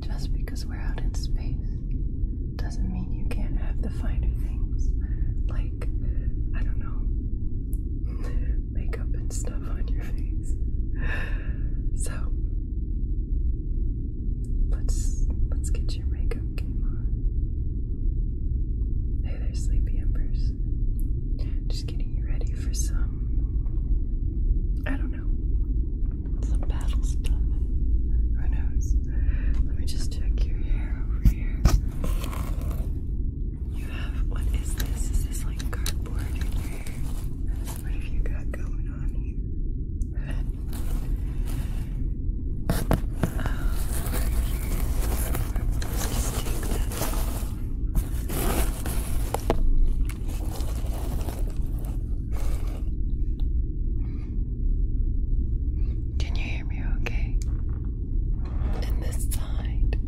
Just because we're out in space doesn't mean you can't have the finer things like, I don't know, makeup and stuff on your face. So let's let's get your makeup game on. Hey there, sleepy embers. Just getting you ready for some I don't know some battle stuff. Who knows? Let me just check your hair over here. You have what is this? Is this like cardboard in your hair? What have you got going on here? Let's just take that can you hear me okay? And this side.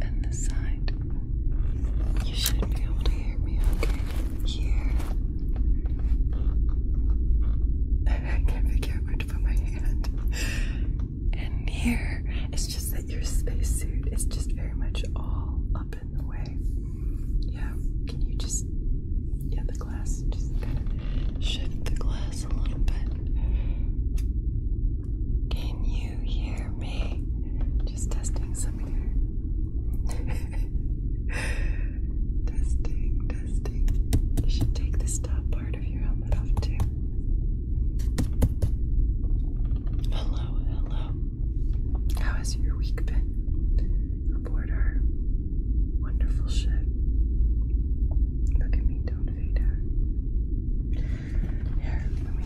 And this side. You should be able to hear me okay. Here. I can't figure out to put my hand. And here. It's just that your spacesuit is just very much all up in the way. Yeah, can you just, yeah, the glass, just kind of shift the glass a little bit. Can you hear me? Just testing some here. testing, testing. You should take this top part of your helmet off too. Hello, hello. How has your week been aboard our wonderful ship? Look at me, don't fade out. Here, let me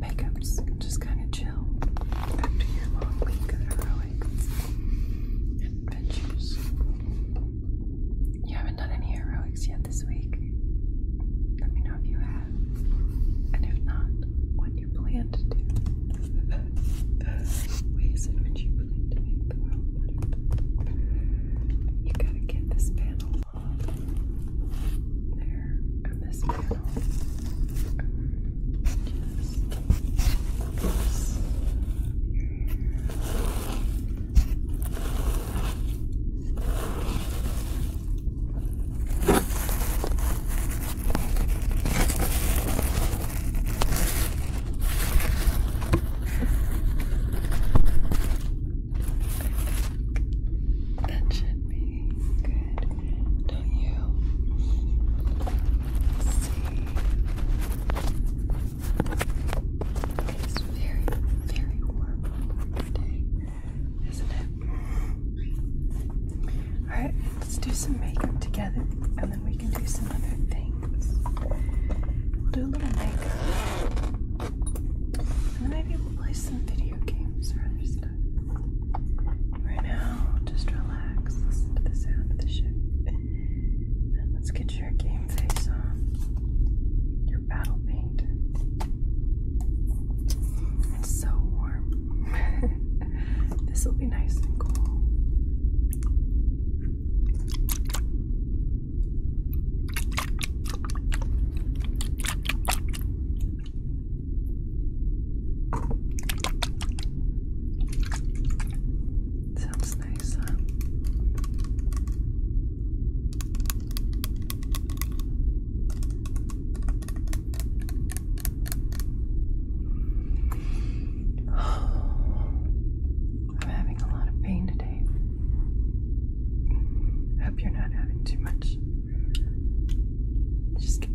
get Makeup's just kind of chill after your long week of heroics adventures. You haven't done any heroics yet this week. Let me know if you have. And if not, what you plan to do. Ways in which you plan to make the world better. You gotta get this panel off. There. And this panel. Just. That should be good, don't you? It's very, very warm today, isn't it? Alright, let's do some makeup together and then we can do some other things. We'll do a little makeup. And then maybe we'll play some video games or other stuff. Right now, just relax, listen to the sound of the ship let's get your game face on. Your battle paint. It's so warm. this will be nice and cool. Sounds I'm having a lot of pain today. hope you're not having too much. Just get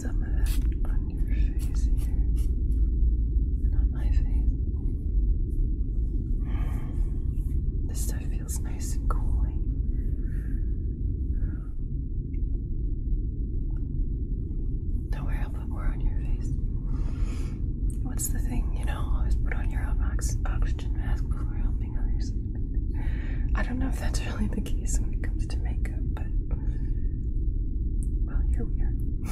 some of that on your face here and on my face. This stuff feels nice and cooling. Don't worry, I'll put more on your face. What's the thing, you know? Always put on your oxygen mask before helping others. I don't know if that's really the case when it comes to makeup, but well, here we are. Let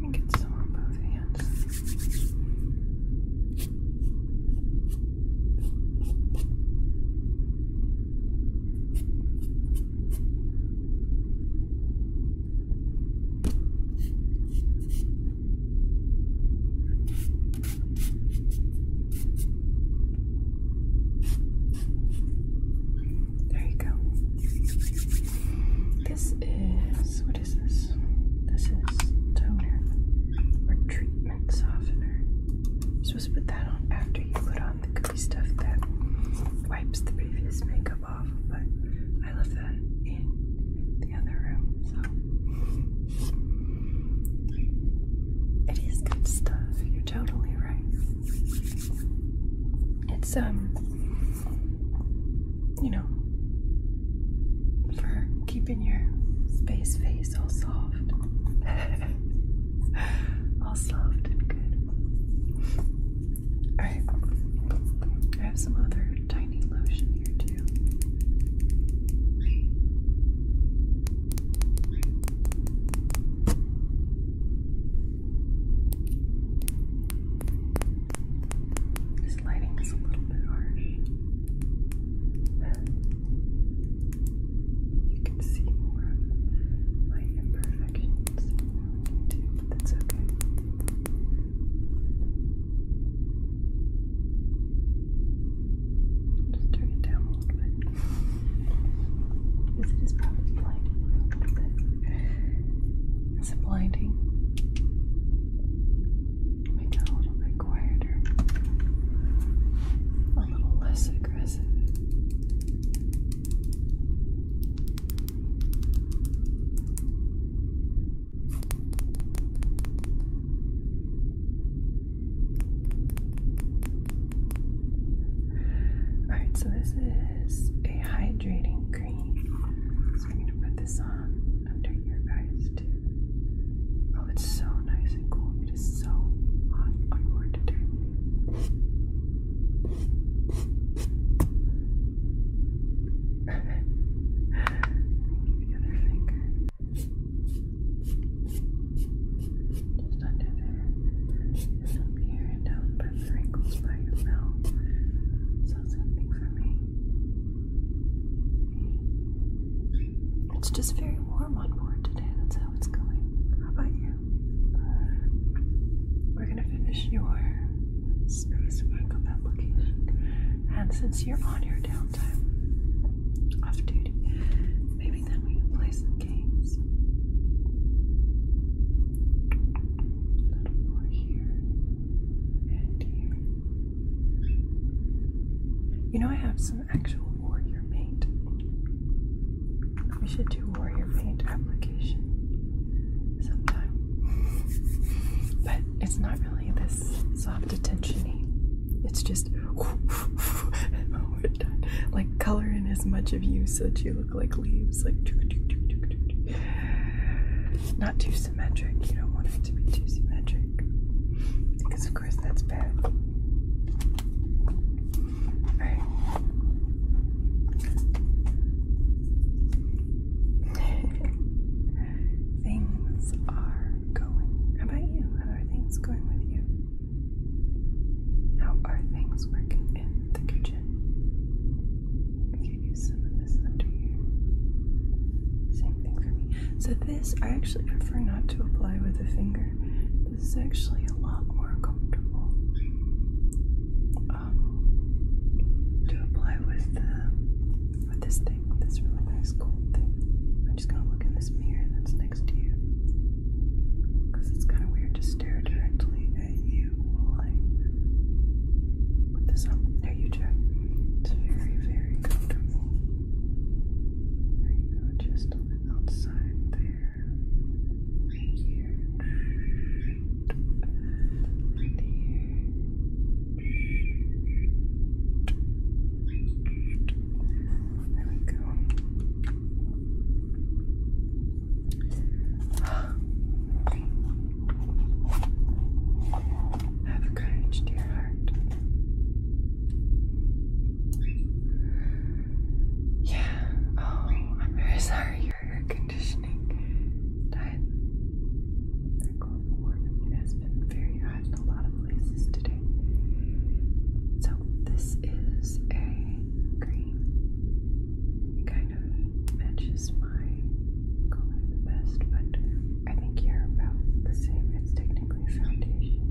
me get some on both hands. There you go. This is what is this? This is toner or treatment softener. You're supposed to put that on after you put on the goopy stuff that wipes the previous makeup but I left that in the other room, it is good stuff. You're totally right. It's um, you know, for keeping your space face all soft, all soft and good. Alright. I have some other tiny lotion here too. This lighting is a little bit harsh. You can see more of my imperfections. That's okay. Just turn it down a little bit. Because it is probably blinding a blinding? Make it a little bit quieter. A little less aggressive. Alright, so this is a hydrating cream. So I'm going to put this on under your eyes too. Oh, it's so nice and cool. It is so hot on board today. Just under there. here and down by the wrinkles by your mouth. something for me. It's just very warm on board today. That's how it's going. How about you? We're gonna finish your space for application. And since you're on your downtime off duty, maybe then we can play some games. A little more here and here. You know, I have some actual warrior paint. We should do warrior paint application sometime. But it's not really this soft attentiony. It's just like color in as much of you so that you look like leaves, like not too symmetric. You don't want it to be too symmetric because, of course, that's bad. All right things are going. How about you? How are things going with you? How are things working in the kitchen? I could use some of this under here. Same thing for me. So this I actually prefer not to apply with a finger. This is actually a lot more comfortable to apply with the with this thing, this really nice gold thing. I'm just gonna look in this mirror that's next to you, because it's kind of weird to stare directly at you put this on. There you try. It's very, very comfortable. There you go, just on the outside there, here. Have courage, dear heart. Yeah. Oh, I'm very sorry your air conditioning died outside. The global warming has been very high in a lot of places today. So this is a green. It kind of matches my color best, but I think you're about the same. It's technically foundation.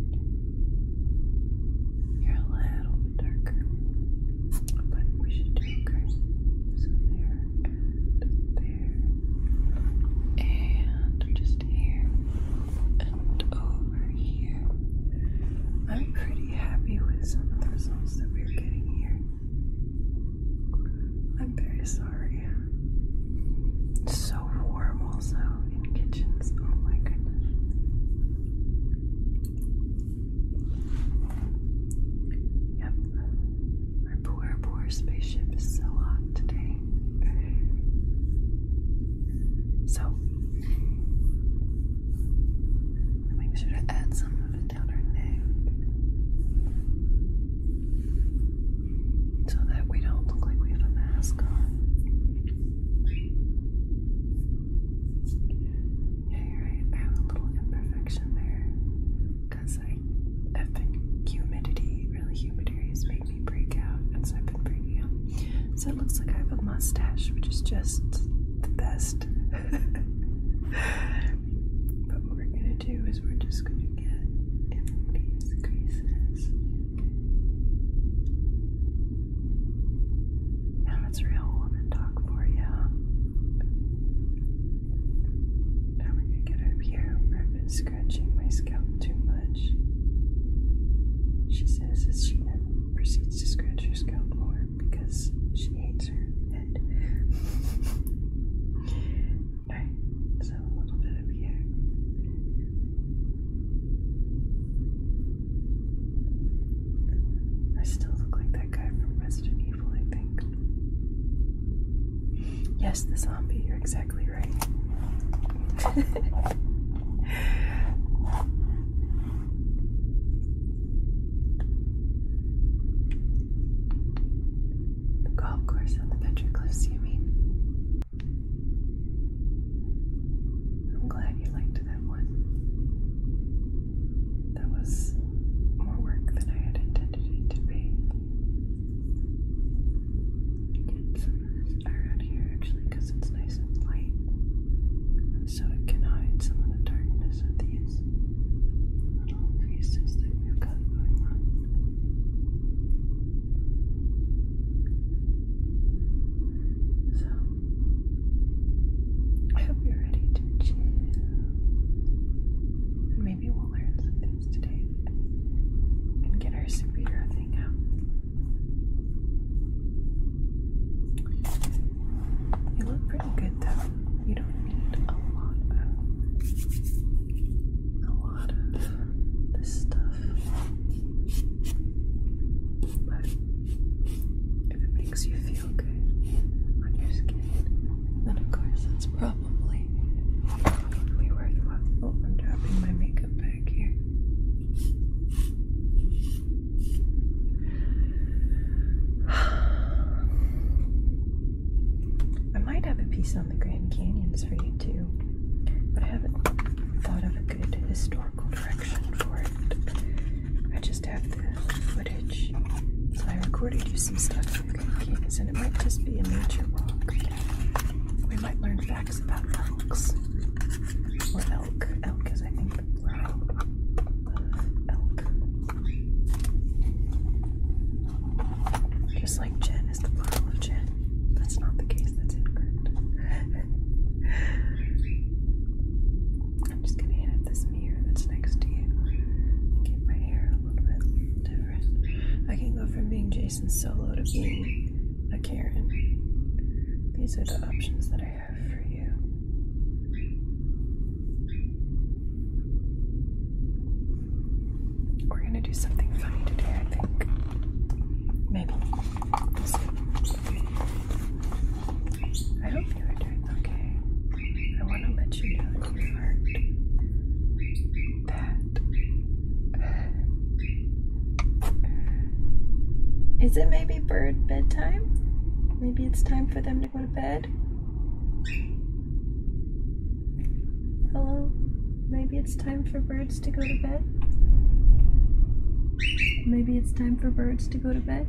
You're a little bit darker, but we should do okay. So there and just here, and over here. I'm pretty happy with some of the results that we're getting here. I'm very sorry. so warm, also, in kitchens. Oh my goodness. Yep. Our poor, poor spaceship is so hot today. So, make sure to add some of it down her neck so that we don't look like we have a mask on. Yeah, you're right. I have a little imperfection there because I like humidity, really humid areas make me break out, and so I've been breaking out. So it looks like I have a mustache, which is just the best. but what we're gonna do is we're just gonna get these creases. Now it's real woman talk for you. I'm gonna get up here I've been scratching my scalp too much. She says as she then proceeds to scratch her scalp more because she hates her head. Alright, so a little bit up here. I still look like that guy from Resident Evil. Yes, the zombie, you're exactly right. The course on the Venture Cliffs, you mean? I'm glad you liked that one. That was more work than I had intended it to be. Get some air out here actually because it's nice and light. So it can hide some of the darkness of these little creases that we've got going on. So, I hope you're ready to chill Maybe we'll learn some things today and get our superhero thing out. You look pretty good though. You don't need a lot of a lot of this stuff. But if it makes you feel and of course, that's probably be worthwhile. Oh, I'm dropping my makeup back here. I might have a piece on the Grand Canyons for you too, but I haven't thought of a good historical direction for it. I just have footage. So I recorded you some stuff for the Vikings, and it might just be a nature walk. We might learn facts about elks. Or elk. Elk because I think, the plural elk. Just like Jen is the plural of Jen. That's not the case, that's incorrect. I'm just gonna hit this smear that's next to you and my hair a little bit different. I can go from being Jason Solo to being a Karen. These are the options that I have for you. We're gonna do something funny today, I think. Maybe. I hope you are doing okay? I want to let you know, that. Is it maybe bird bedtime? Maybe it's time for them to go to bed? Hello? Maybe it's time for birds to go to bed? Maybe it's time for birds to go to bed?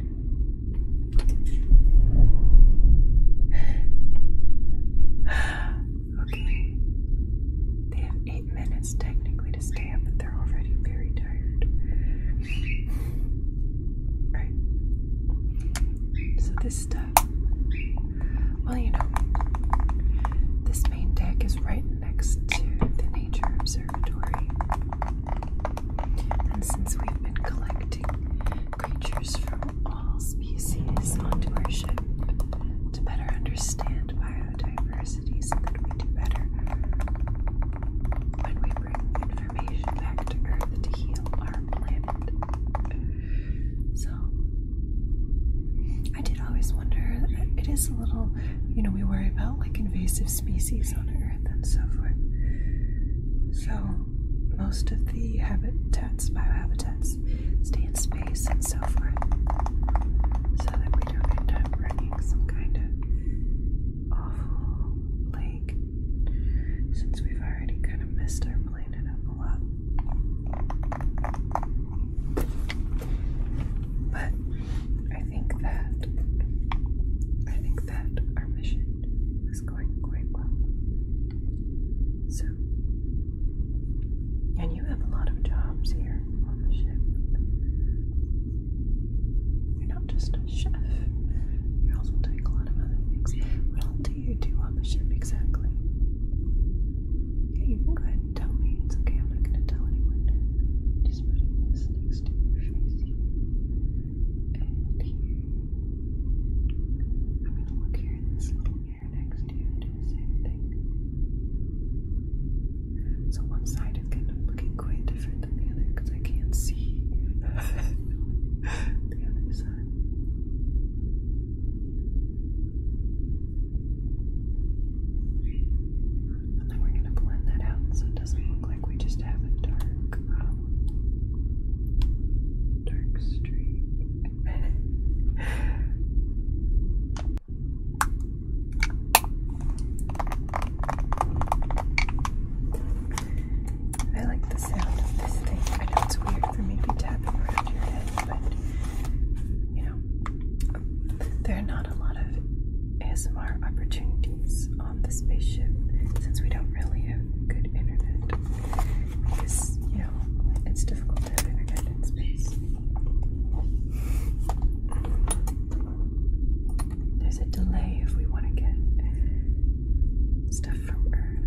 Okay. They have eight minutes technically to stay but they're already very tired. Alright. So this stuff. Well, you know, this main deck is right next to the Nature Observatory. And since we've been collecting creatures from all species onto our ship to better understand biodiversity so that we do better when we bring information back to Earth to heal our planet. So, I did always wonder, it is a little, you know, we worry about like invasive species on Earth and so forth. So, most of the habitats, biohabitats, stay in space and so forth, so that we don't end up running some kind of awful plague, since we've already kind of messed our planet up a lot. But I think that I think that our mission was going quite well. So, and you have a lot of jobs here on the ship. You're not just a chef, you're also doing a lot of other things. What all do you do on the ship exactly? Yeah, you can go ahead and tell me. It's okay, I'm not going to tell anyone. Just putting this next to your face here. I'm gonna look here in this little mirror next to you and do the same thing. So one side is kind of looking quite different than the other because I can't see the other side. And then we're gonna blend that out so it doesn't look like we just have a dark um, Dark streak. I like the sound of this thing. I know it's weird for me to be tapping around your head, but you know, there are not a lot of ASMR opportunities on the spaceship since we don't really have good internet. Because, you know, it's difficult to have in space. There's a delay if we want to get stuff from Earth.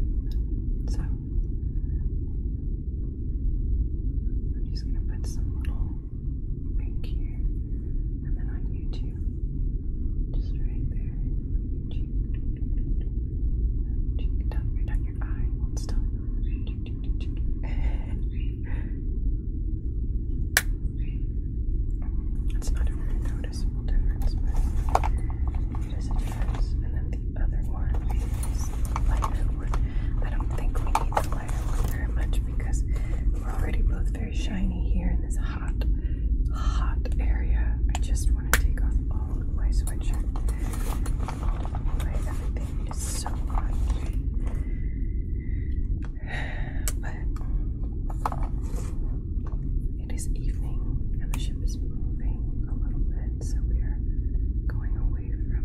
So, I'm just going to put some little pink here. And then on YouTube, just right there. Cheek it's not a really noticeable difference, but it is a difference. And then the other one is lighter I don't think we need the lighter one very much because we're already both very shiny here in this hot, hot area. I just just want to take off all of my sweatshirt. All of my everything is so hot. But it is evening and the ship is moving a little bit, so we are going away from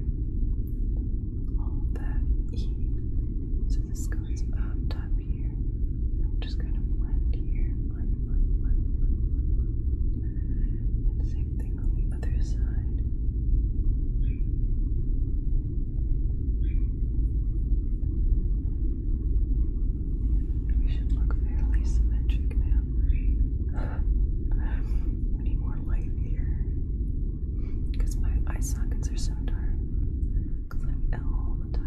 all that heat. So this goes up here just kind of blend here. And same thing on the other side. We should look fairly symmetric we need more light here. Because my eye sockets are so dark. Because I'm ill all the time.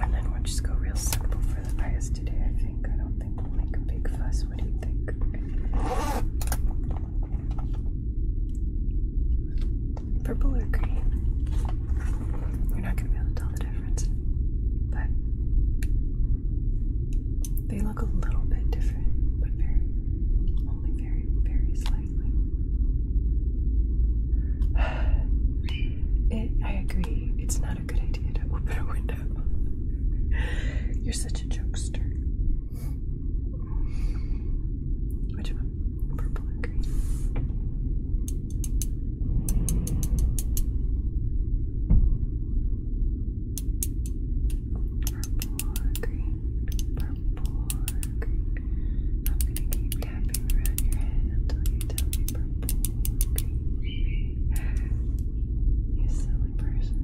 And then we'll just go real simple for the eyes today, I think. I don't think we'll make a big fuss. What do you think? Purple or green? You're not going to be able to tell the difference. But they look a little bit different, but very I agree, it's not a good idea to open a window. You're such a jokester. Which one? Purple purple green, purple green. I'm gonna keep tapping around your head until you tell me purple green. You silly person.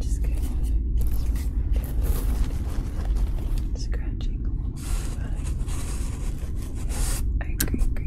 Just get Scratching I agree.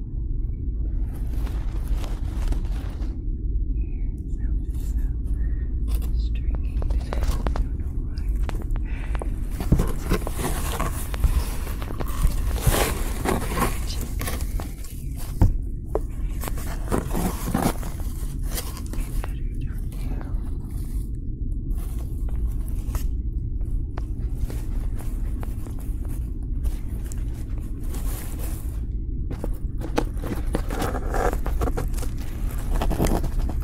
so stringing today. I don't know why. I I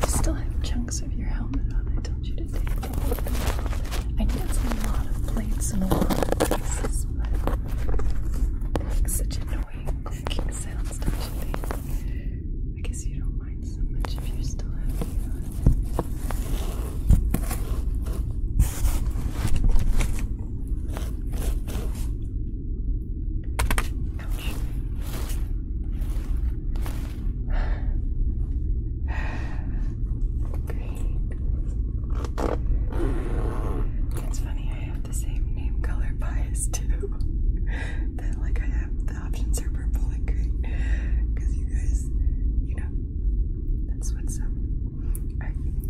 still have chunks of your helmet on. I told you to take it off. I did a lot of plates in a lot of pieces, but such annoying clicking sounds, don't you think? I guess you don't mind so much if you're still happy. It's funny, I have the same name color bias too. that like I have the options are purple and green. Cause you guys, you know, that's what's up.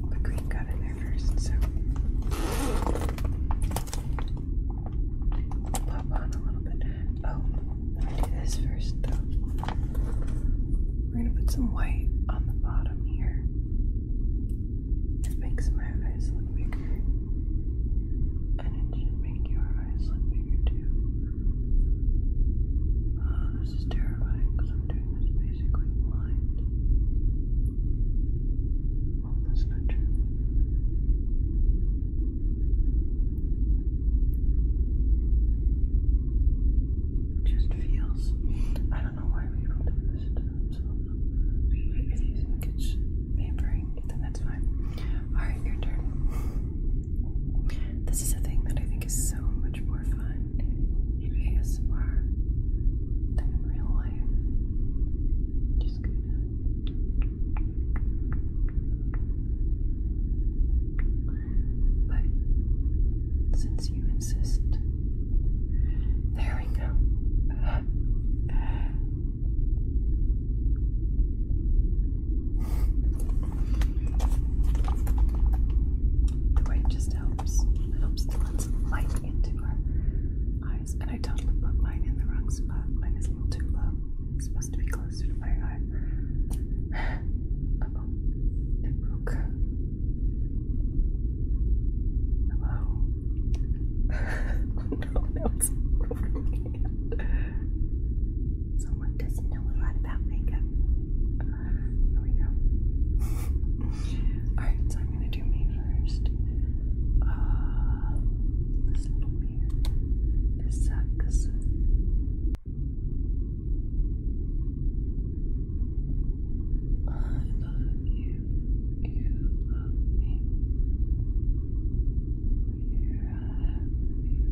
the queen got in there first, so pop on a little bit. Oh, do this first We're gonna put some white on the bottom here. It makes my eyes look bigger. And it should make your eyes look bigger too. Uh, this is terrifying because I'm doing this basically blind. Well, not true. just feels. I don't know why we people do this to If you think it's pampering, then that's fine. Alright, your turn. This is a thing that I think is so much more fun in ASMR than in real life. Just going But since you insist, there we go. The white just helps. It helps to let some light into our eyes. And I totally put mine in the wrong spot. Mine is a little too low. It's supposed to be closer to my eye. oh. It broke. Hello. Oh, no, now it's over my hand someone doesn't know a lot about makeup. Here we go. Alright, so I'm gonna do me first. Uh, this little mirror. This sucks. I love you. You love me. You're happy.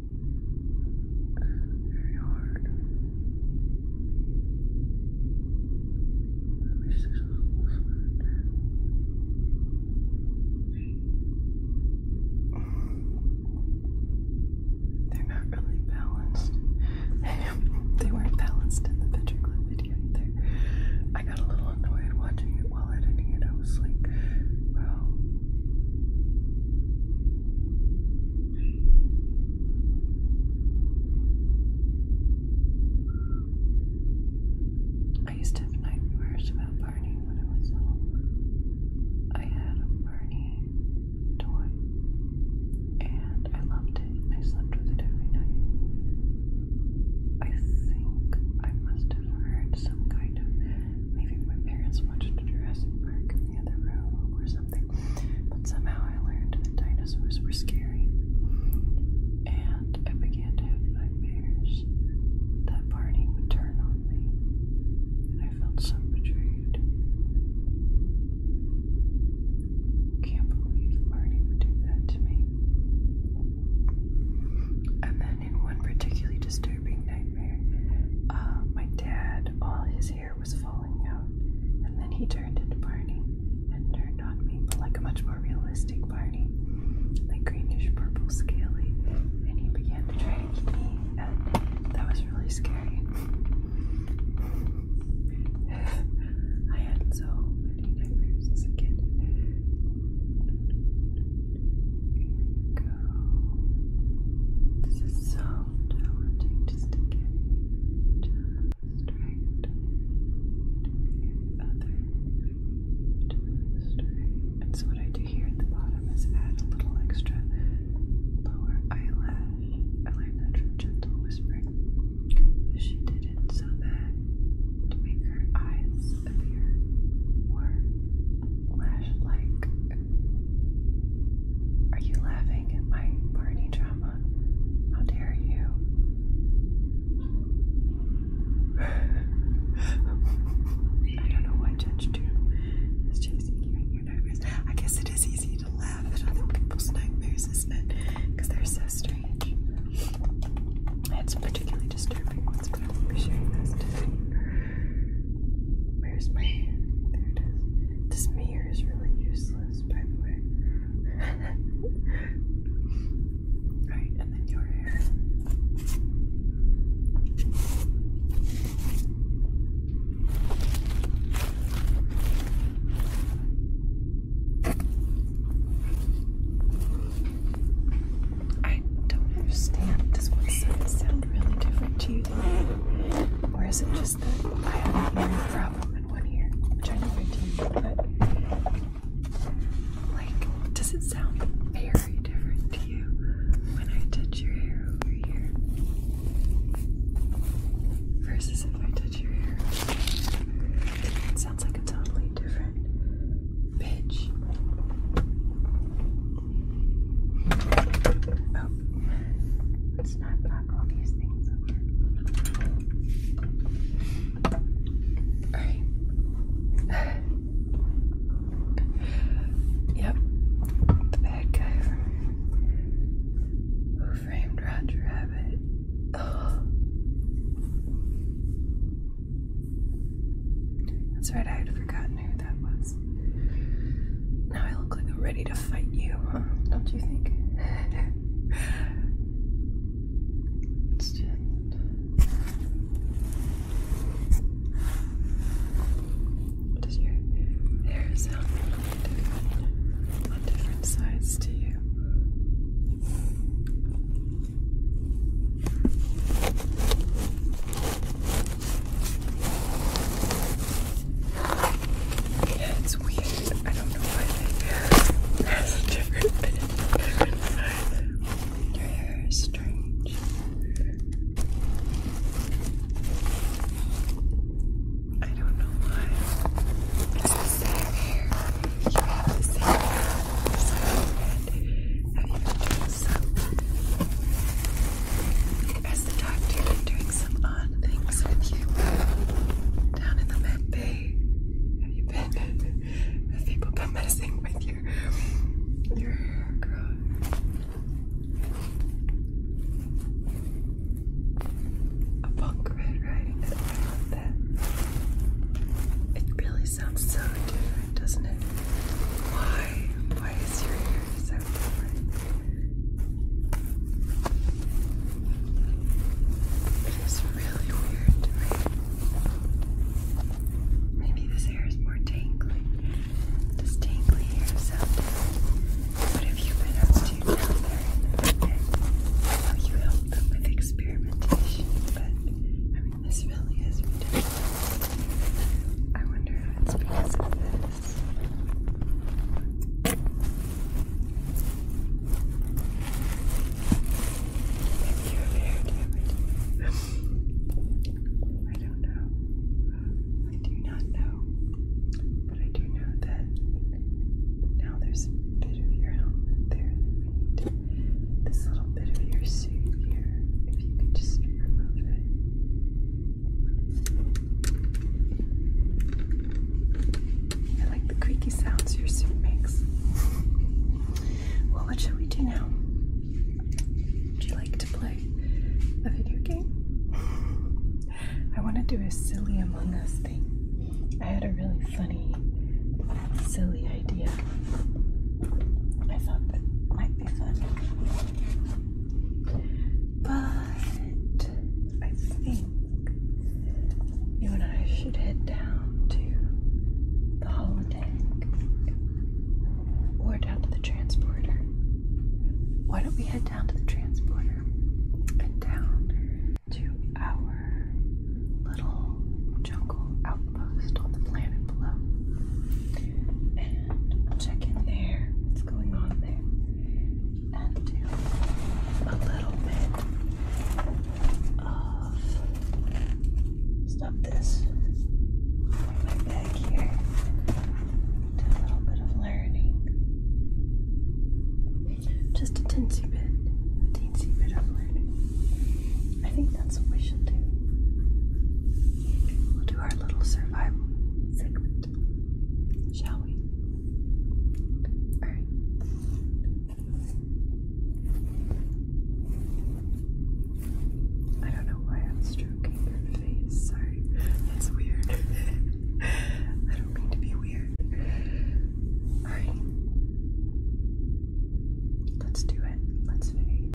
Very hard. They're not really balanced. they weren't balanced in the picture clip video I got a little annoyed watching it while editing it. I was like, I used to have nightmares about Barney when I was little. I had a Barney toy and I loved it I slept with it every night. I think I must have heard some kind Maybe my parents watched Jurassic Park in the other room or something. But somehow I learned that dinosaurs were scary. And I began to have nightmares that Barney would turn on me. And I felt so betrayed. Can't believe Barney would do that to me. And then and in one particularly disturbing nightmare, uh, my dad, all his hair was falling out, and then he turned into Barney and turned on me, but like a much more realistic Barney, like greenish purple, scaly, and he began to try to eat me, that was really scary. I had so many nightmares as a kid. Here we go. This is so challenging just to get just right. Other just right. And so what I do here at the bottom is add a little extra lower eyelash. I learned that from Gentle Whispering. She did it so that to make her eyes are you laughing at my party drama? How dare you? I don't know why I 2 is you I guess it is easy to laugh at other people's nightmares, isn't it? Because they're so strange. It's particularly disturbing ones, but I'll be sharing those today. Where's my. There it is. This mirror is really useless, by the way. Alright, and then your hair. I don't understand. Does one side sound really different to you Or is it just that I have a hearing problem in one ear? which I'm trying to but like, does it sound very different to you when I touch your hair over here? Versus if I touch your hair. It sounds like a totally different Bitch. Oh, let's not knock all these things Alright. yep, the bad guy Who Framed Roger Rabbit. Oh. That's right, I had forgotten who that was. Now I look like I'm ready to fight you, huh? Don't you think? it's just. Does your hair sound different different sides to you? Yeah, it's weird. I don't know why they has a different vibe. Your hair is strange. I don't know why. It's the same hair. You have the same so, as the doctor, I'm doing some odd things with you down in the med bay. Have you been? Have people been messing with your your hair growth? A punk red riding It really it sounds so different, doesn't it? Why? Why is your hair so different? It is really weird Maybe this hair is more tangly. Does tangly hair sound different? What have you been up to there in you helped them with experimentation, this really is ridiculous. I wonder if it's because of this. Maybe you have I don't know. I do not know. But I do know that now there's a bit of your helmet there This little of your suit here, if you could just remove it. I like the creaky sounds your suit makes. well, what shall we do now? Would you like to play a video game? I want to do a silly Among Us thing. I had a really funny, silly idea I thought that might be fun. But I think you and I should head down to the holodeck or down to the transporter. Why don't we head down to the transporter and down to our little jungle outpost on the planet below? check in there, what's going on there, a little bit of stop this. My bag here. Do a little bit of learning. Just a tinsy bit. A teensy bit of learning. I think that's what we should do. We'll do our little survival segment, shall we? Alright. I don't know why I'm stroking your face. Sorry, that's weird. I don't mean to be weird. Alright. Let's do it. Let's fade.